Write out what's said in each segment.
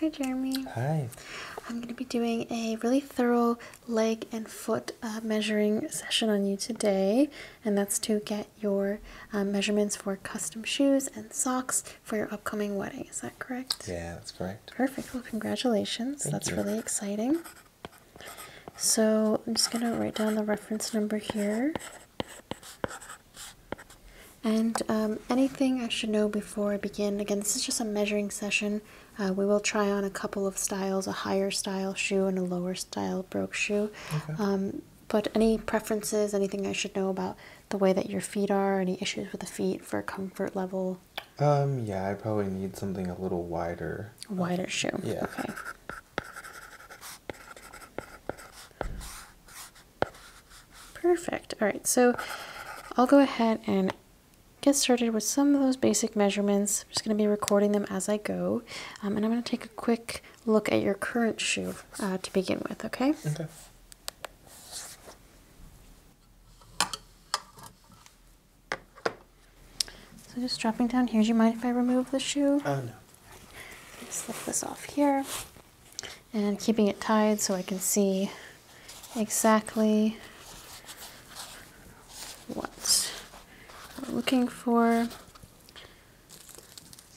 Hi, Jeremy. Hi. I'm going to be doing a really thorough leg and foot uh, measuring session on you today, and that's to get your uh, measurements for custom shoes and socks for your upcoming wedding. Is that correct? Yeah, that's correct. Perfect. Well, congratulations. Thank that's really exciting. So I'm just going to write down the reference number here. And um, anything I should know before I begin, again, this is just a measuring session. Uh, we will try on a couple of styles, a higher style shoe and a lower style brogue shoe. Okay. Um, but any preferences, anything I should know about the way that your feet are, any issues with the feet for comfort level? Um, yeah, I probably need something a little wider. Wider shoe. Yeah. Okay. Perfect. All right, so I'll go ahead and get started with some of those basic measurements. I'm just going to be recording them as I go. Um, and I'm going to take a quick look at your current shoe uh, to begin with, okay? Okay. So just dropping down here. Do you mind if I remove the shoe? Oh, no. Slip this off here and keeping it tied so I can see exactly what we're looking for.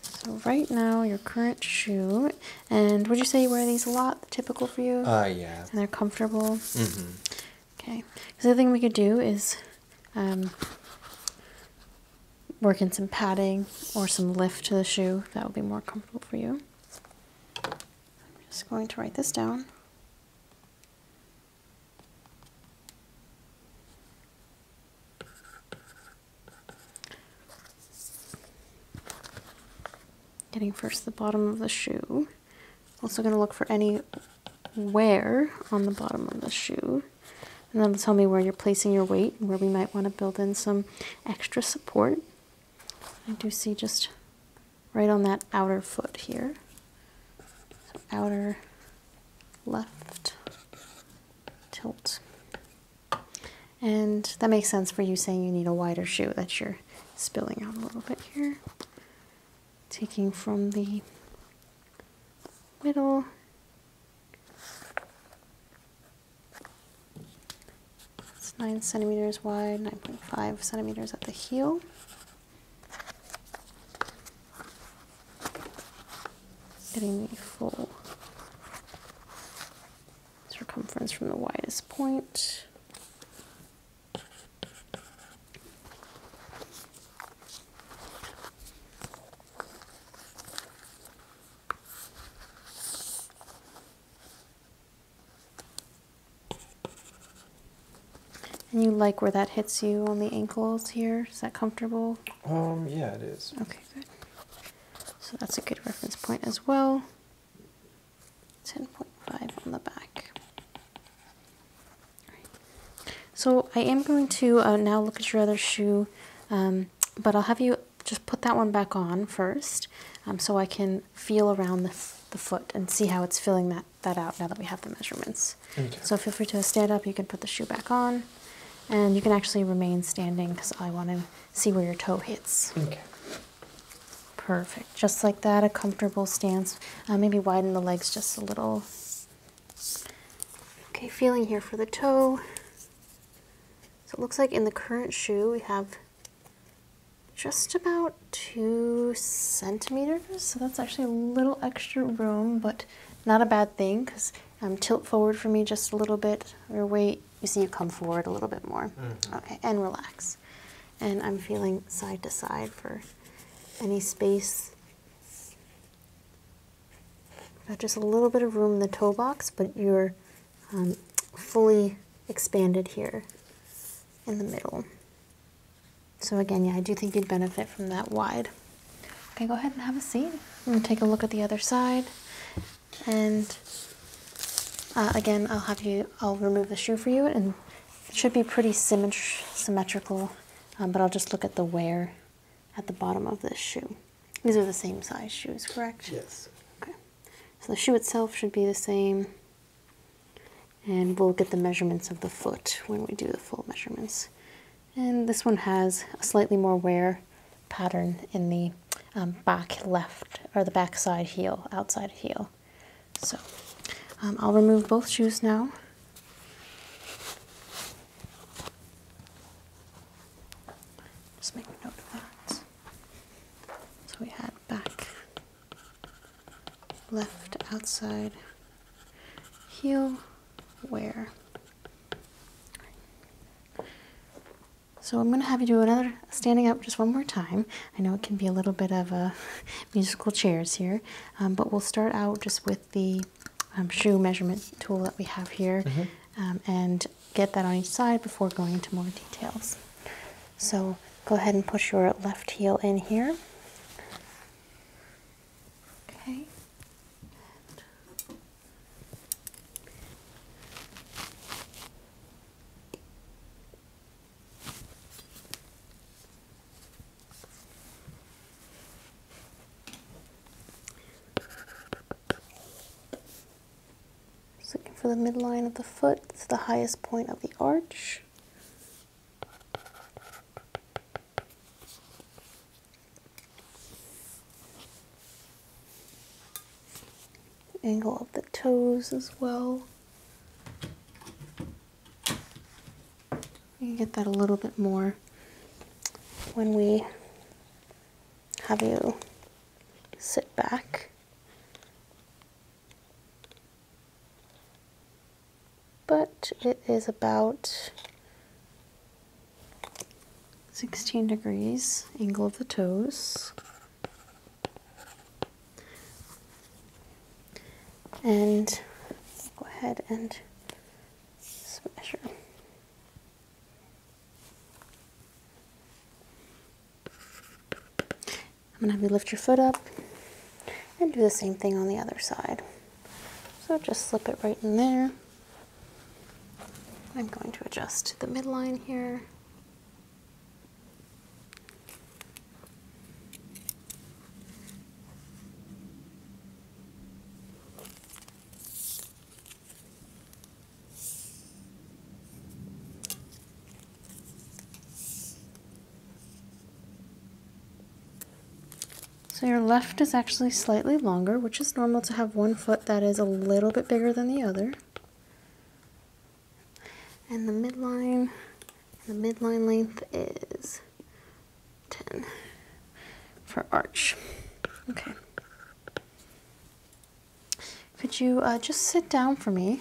So right now, your current shoe, and would you say you wear these a lot? Typical for you? Uh, yeah. And they're comfortable. Mm -hmm. Okay, so the other thing we could do is um, work in some padding or some lift to the shoe. That would be more comfortable for you. I'm just going to write this down. Getting first the bottom of the shoe. Also going to look for any where on the bottom of the shoe. And that'll tell me where you're placing your weight and where we might want to build in some extra support. I do see just right on that outer foot here. outer left tilt. And that makes sense for you saying you need a wider shoe that you're spilling out a little bit here taking from the middle it's 9 centimeters wide 9.5 centimeters at the heel getting the full circumference from the widest point and you like where that hits you on the ankles here? Is that comfortable? Um, yeah, it is. Okay, good. So that's a good reference point as well. 10.5 on the back. So I am going to uh, now look at your other shoe, um, but I'll have you just put that one back on first um, so I can feel around the, the foot and see how it's filling that, that out now that we have the measurements. So feel free to stand up. You can put the shoe back on and you can actually remain standing because I want to see where your toe hits. Okay. Perfect. Just like that, a comfortable stance. Uh, maybe widen the legs just a little. Okay, feeling here for the toe. So it looks like in the current shoe we have just about two centimeters. So that's actually a little extra room, but not a bad thing because um, tilt forward for me just a little bit, or wait, you see you come forward a little bit more. Mm-hmm. Okay, and relax. And I'm feeling side to side for any space Got just a little bit of room in the toe box, but you're um, fully expanded here in the middle. So again, yeah, I do think you'd benefit from that wide. Okay, go ahead and have a seat. I'm gonna take a look at the other side. And uh, again, I'll have you, I'll remove the shoe for you and it should be pretty symmetrical um, but I'll just look at the wear at the bottom of this shoe. These are the same size shoes, correct? Yes. Okay. So the shoe itself should be the same, and we'll get the measurements of the foot when we do the full measurements. And this one has a slightly more wear pattern in the um, back left or the backside heel, outside heel. So um, I'll remove both shoes now. Just make note of that. So we had back, left outside heel, wear. So I'm going to have you do another standing up just one more time. I know it can be a little bit of a musical chairs here. Um, but we'll start out just with the um, shoe measurement tool that we have here mm-hmm. um, and get that on each side before going into more details. So go ahead and push your left heel in here. Okay looking for the midline of the foot, it's the highest point of the arch. Angle of the toes as well. You get that a little bit more when we have you sit back. But it is about 16 degrees angle of the toes and go ahead and measure. I'm going to have you lift your foot up and do the same thing on the other side. So just slip it right in there. I'm going to adjust the midline here. So your left is actually slightly longer, which is normal to have one foot that is a little bit bigger than the other and the midline the midline length is 10 for arch okay could you uh, just sit down for me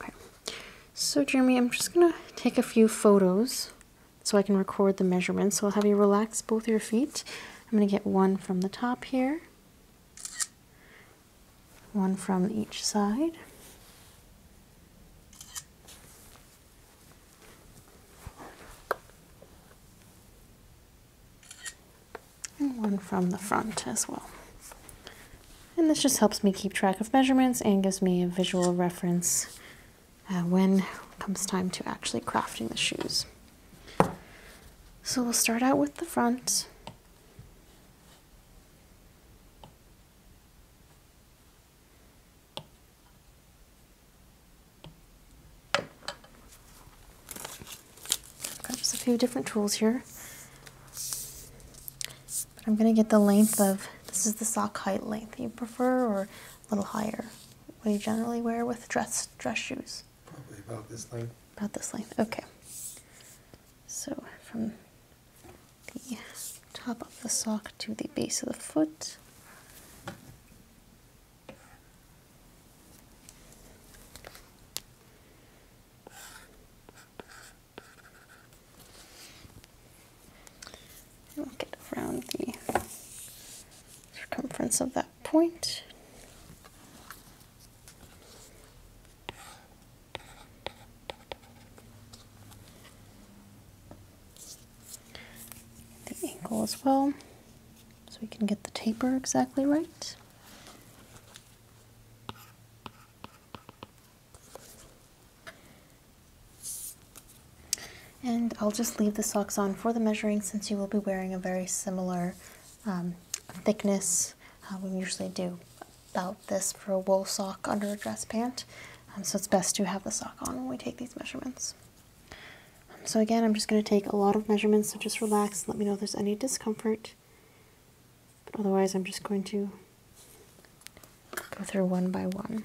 okay so Jeremy I'm just gonna take a few photos so I can record the measurements so I'll have you relax both your feet I'm gonna get one from the top here one from each side. And one from the front as well. And this just helps me keep track of measurements and gives me a visual reference uh, when comes time to actually crafting the shoes. So we'll start out with the front got just a few different tools here. But I'm going to get the length of, this is the sock height length you prefer or a little higher. What you generally wear with dress, dress shoes? Probably about this length. About this length, okay. So from the top of the sock to the base of the foot. We'll get around the circumference of that point. The ankle as well, so we can get the taper exactly right. And I'll just leave the socks on for the measuring since you will be wearing a very similar um, thickness. Um, we usually do about this for a wool sock under a dress pant. Um, so it's best to have the sock on when we take these measurements. Um, so again, I'm just going to take a lot of measurements, so just relax and let me know if there's any discomfort. But otherwise, I'm just going to go through one by one.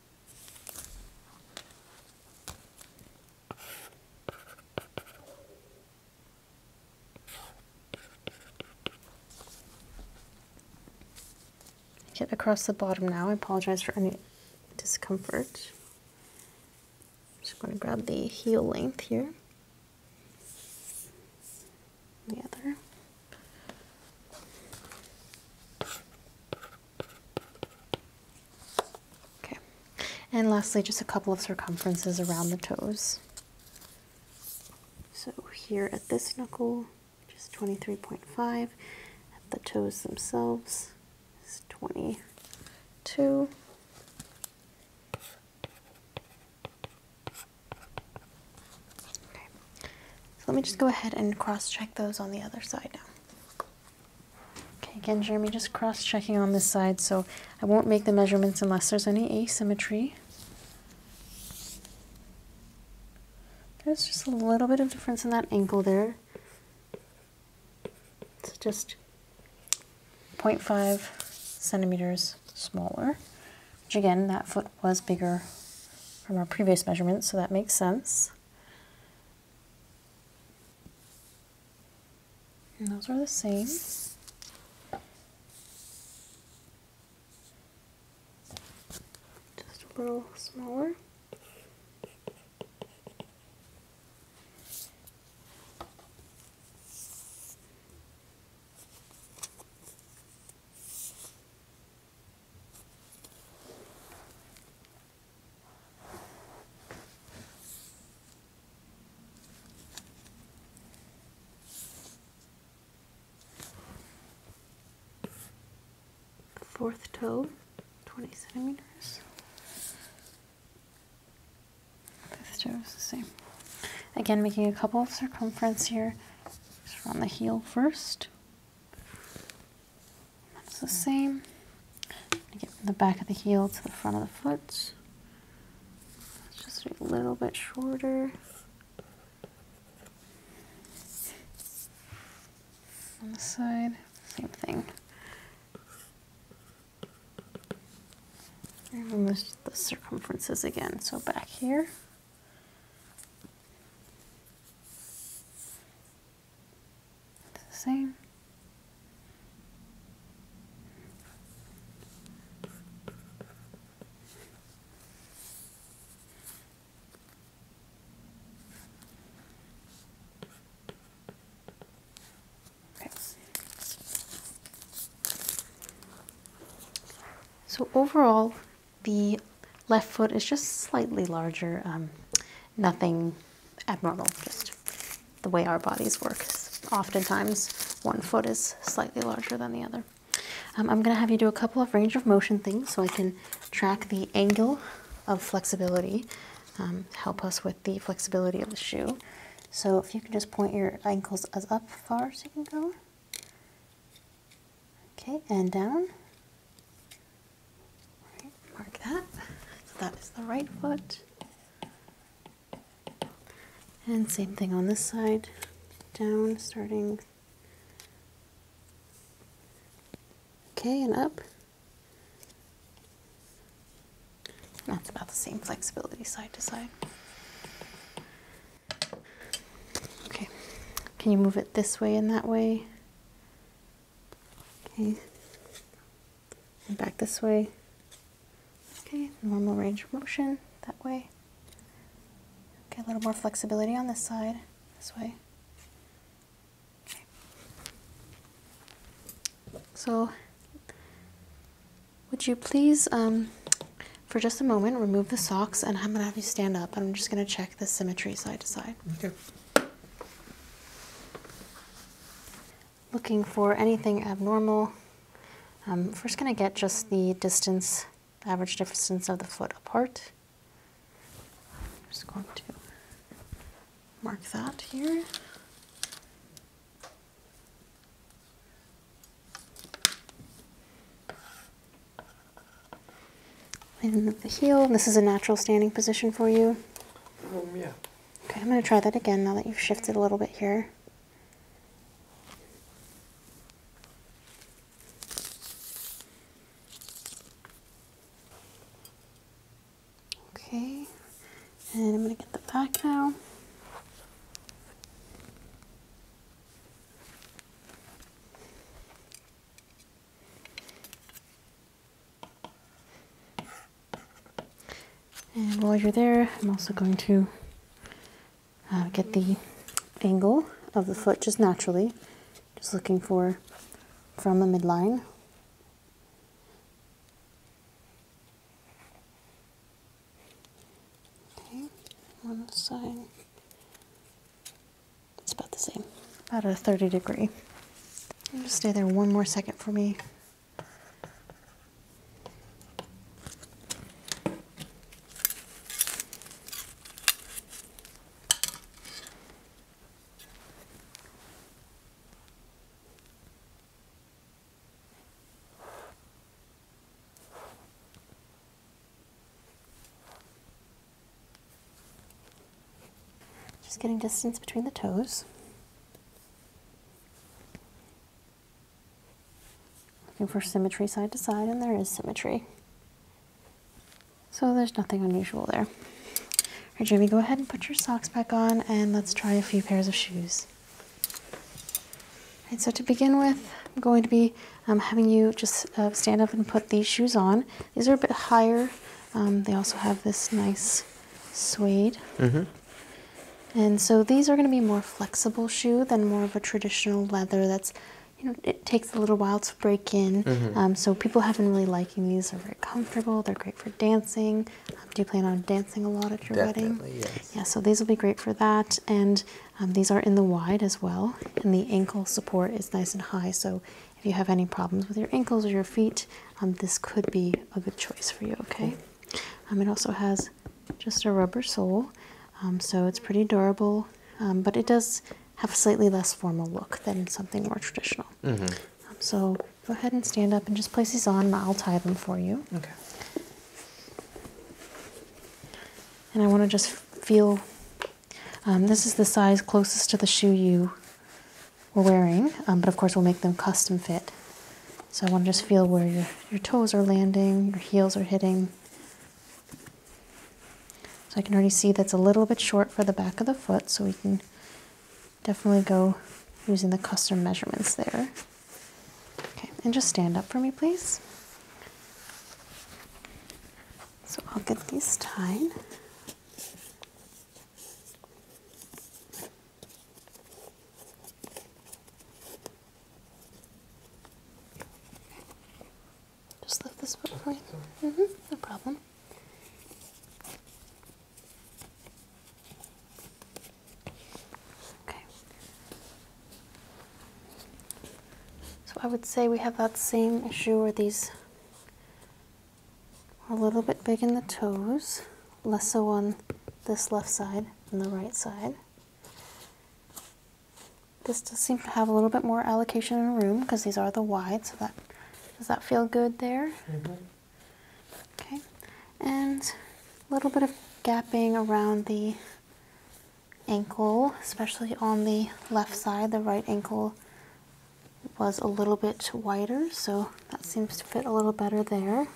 Get across the bottom now. I apologize for any discomfort. just going to grab the heel length here. The other. Okay, and lastly, just a couple of circumferences around the toes. So here at this knuckle, just 23.5, at the toes themselves is 22. So let me just go ahead and cross-check those on the other side now. Okay, again, Jeremy, just cross-checking on this side, so I won't make the measurements unless there's any asymmetry. There's just a little bit of difference in that ankle there. It's just 0.5 centimeters smaller, which again, that foot was bigger from our previous measurements, so that makes sense. And those are the same. Just a little smaller. Fourth toe, 20 centimeters. Fifth toe is the same. Again, making a couple of circumference here. Just around the heel first. That's the same. Get from the back of the heel to the front of the foot. just a little bit shorter. On the side, same thing. the circumferences again. So back here, same. Okay. So overall, the left foot is just slightly larger, um, nothing abnormal, just the way our bodies work. Oftentimes, one foot is slightly larger than the other. Um, I'm going to have you do a couple of range of motion things so I can track the angle of flexibility, um, help us with the flexibility of the shoe. So if you can just point your ankles as up far as you can go. Okay, and down. mark that. So that is the right foot. And same thing on this side. Down, starting. Okay, and up. That's about the same flexibility side to side. Okay, can you move it this way and that way? Okay, and back this way. Okay, normal range of motion that way. Okay, a little more flexibility on this side, this way. Okay. So, would you please um, for just a moment, remove the socks, and I'm going to have you stand up. I'm just going to check the symmetry side to side. Okay. Looking for anything abnormal. first um, going to get just the distance, average distance of the foot apart. I'm just going to mark that here. And the heel, this is a natural standing position for you? Um, okay, I'm going to try that again now that you've shifted a little bit here. Okay, and I'm going to get the back now. And while you're there, I'm also going to uh, get the angle of the foot just naturally, just looking for from the midline. Okay, one side. It's about the same. About a 30 degree. Just stay there one more second for me. Just getting distance between the toes. Looking for symmetry side to side, and there is symmetry. So there's nothing unusual there. All right, Jamie, go ahead and put your socks back on, and let's try a few pairs of shoes so to begin with, I'm going to be um, having you just uh, stand up and put these shoes on. These are a bit higher. Um, they also have this nice suede. Mm-hmm. And so these are going to be more flexible shoe than more of a traditional leather that's you know, it takes a little while to break in. Mm-hmm. Um, so people have been really liking these. They're very comfortable. They're great for dancing. do you plan on dancing a lot at your Definitely, wedding? Yes. Yeah. So these will be great for that. And um, these are in the wide as well, and the ankle support is nice and high. So if you have any problems with your ankles or your feet, um, this could be a good choice for you. Okay. Um, it also has just a rubber sole, so it's pretty durable, but it does have a slightly less formal look than something more traditional. Mm-hmm. so go ahead and stand up and just place these on. I'll tie them for you. Okay. And I want to just feel um, this is the size closest to the shoe you were wearing, um, but of course we'll make them custom fit. So I want to just feel where your, your toes are landing, your heels are hitting. So I can already see that's a little bit short for the back of the foot, so we can definitely go using the custom measurements there. Okay, and just stand up for me, please. So I'll get these tied. Just lift this foot for you. -hmm, no problem. Okay. So I would say we have that same issue where these are a little bit big in the toes, less so on this left side than the right side. This does seem to have a little bit more allocation and room because these are the wide, so that does that feel good there? Mm-hmm. Okay, and a little bit of gapping around the ankle, especially on the left side. The right ankle was a little bit wider, so that seems to fit a little better there.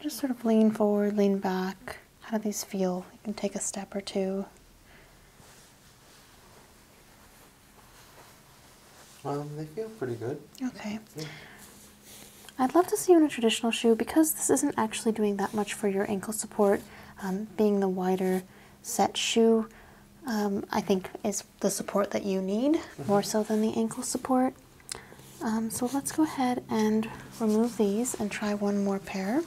Just sort of lean forward, lean back. How do these feel? You can take a step or two. Um, they feel pretty good. Okay. I'd love to see you in a traditional shoe because this isn't actually doing that much for your ankle support. Um, being the wider set shoe, um, I think, is the support that you need mm-hmm. more so than the ankle support. Um, so let's go ahead and remove these and try one more pair.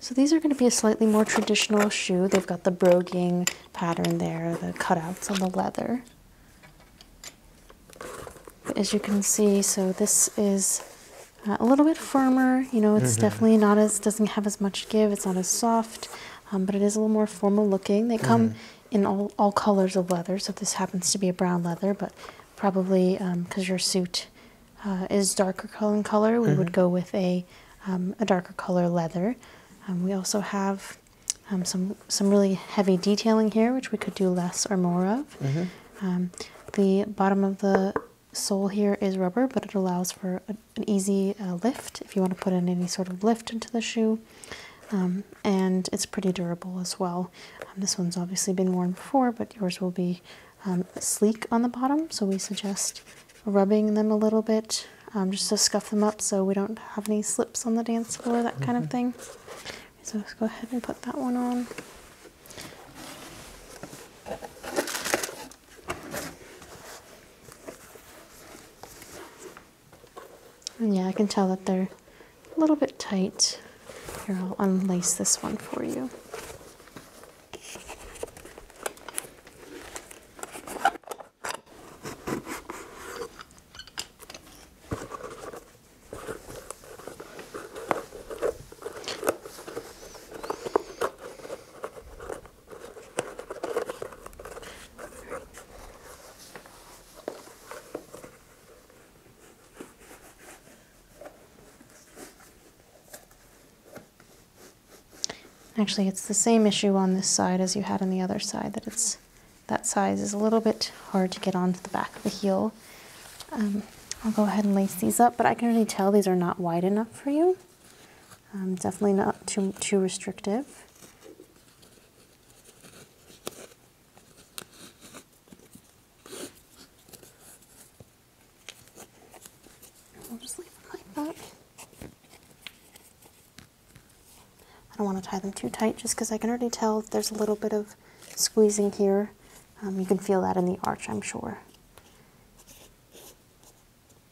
So these are going to be a slightly more traditional shoe. They've got the broguing pattern there, the cutouts on the leather. as you can see, so this is uh, a little bit firmer. You know, it's mm-hmm. definitely not as, doesn't have as much give. It's not as soft. Um, but it is a little more formal looking. They come mm-hmm. in all, all colors of leather, so this happens to be a brown leather, but probably because um, your suit uh, is darker in color, we would mm-hmm. go with a, um, a darker color leather. we also have some, some really heavy detailing here, which we could do less or more of. Mm-hmm. the bottom of the sole here is rubber, but it allows for an easy uh, lift if you want to put in any sort of lift into the shoe. Um, and it's pretty durable as well. Um, this one's obviously been worn before, but yours will be um, sleek on the bottom, so we suggest rubbing them a little bit just to scuff them up so we don't have any slips on the dance floor, that kind of mm-hmm. thing. So let's go ahead and put that one on yeah, I can tell that they're a little bit tight. Here, I'll unlace this one for you. Actually, it's the same issue on this side as you had on the other side, that it's that size is a little bit hard to get onto the back of the heel. Um, I'll go ahead and lace these up, but I can already tell these are not wide enough for you. Um, definitely not too, too restrictive. I don't want to tie them too tight just because I can already tell there's a little bit of squeezing here. Um, you can feel that in the arch, I'm sure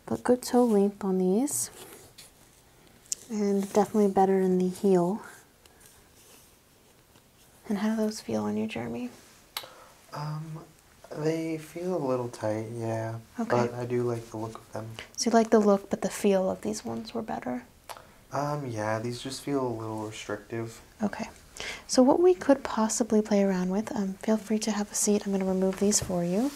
but good toe length on these and definitely better in the heel and how do those feel on you jeremy um, they feel a little tight yeah okay. but i do like the look of them so you like the look but the feel of these ones were better um, yeah these just feel a little restrictive okay so what we could possibly play around with um, feel free to have a seat. I'm going to remove these for you.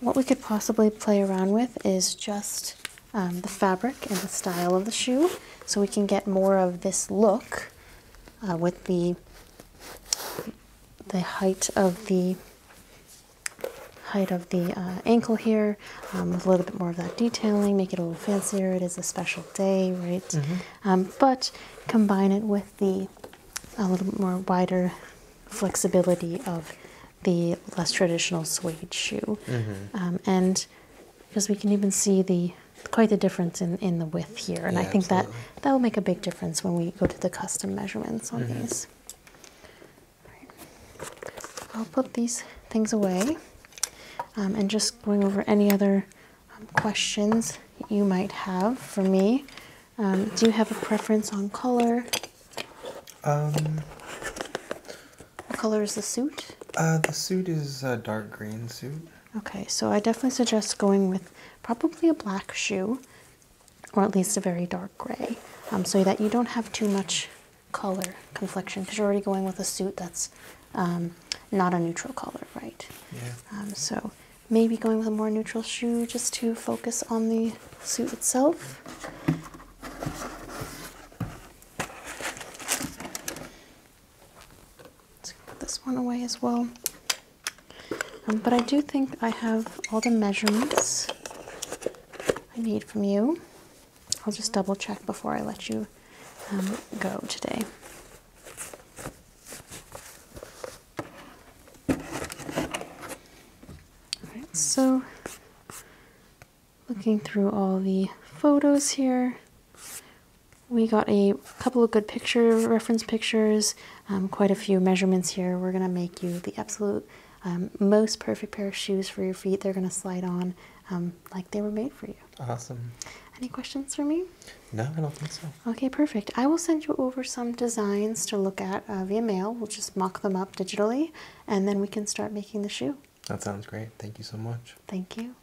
What we could possibly play around with is just um, the fabric and the style of the shoe so we can get more of this look uh, with the the height of the height of the uh, ankle here um, with a little bit more of that detailing make it a little fancier it is a special day right mm-hmm. Um, but combine it with the a little bit more wider flexibility of the less traditional suede shoe. Mm-hmm. Um, and because we can even see the quite the difference in, in the width here. And I think that that will make a big difference when we go to the custom measurements on mm-hmm. these. I'll put these things away um, and just going over any other um, questions you might have for me. Um, do you have a preference on color? Um, what color is the suit? Uh, the suit is a dark green suit. Okay, so I definitely suggest going with probably a black shoe, or at least a very dark gray, so that you don't have too much color confliction because you're already going with a suit that's um, not a neutral color, right? Yeah. Um, so maybe going with a more neutral shoe just to focus on the suit itself. Let's put this one away as well. Um, but I do think I have all the measurements I need from you. I'll just double check before I let you go today. Alright, so looking through all the photos here, we got a couple of good picture reference pictures, um, quite a few measurements here. We're going to make you the absolute um, most perfect pair of shoes for your feet. They're going to slide on um, like they were made for you. Awesome. Any questions for me? No, I don't think so. Okay, perfect. I will send you over some designs to look at uh, via mail. We'll just mock them up digitally and then we can start making the shoe. That sounds great. Thank you so much. Thank you.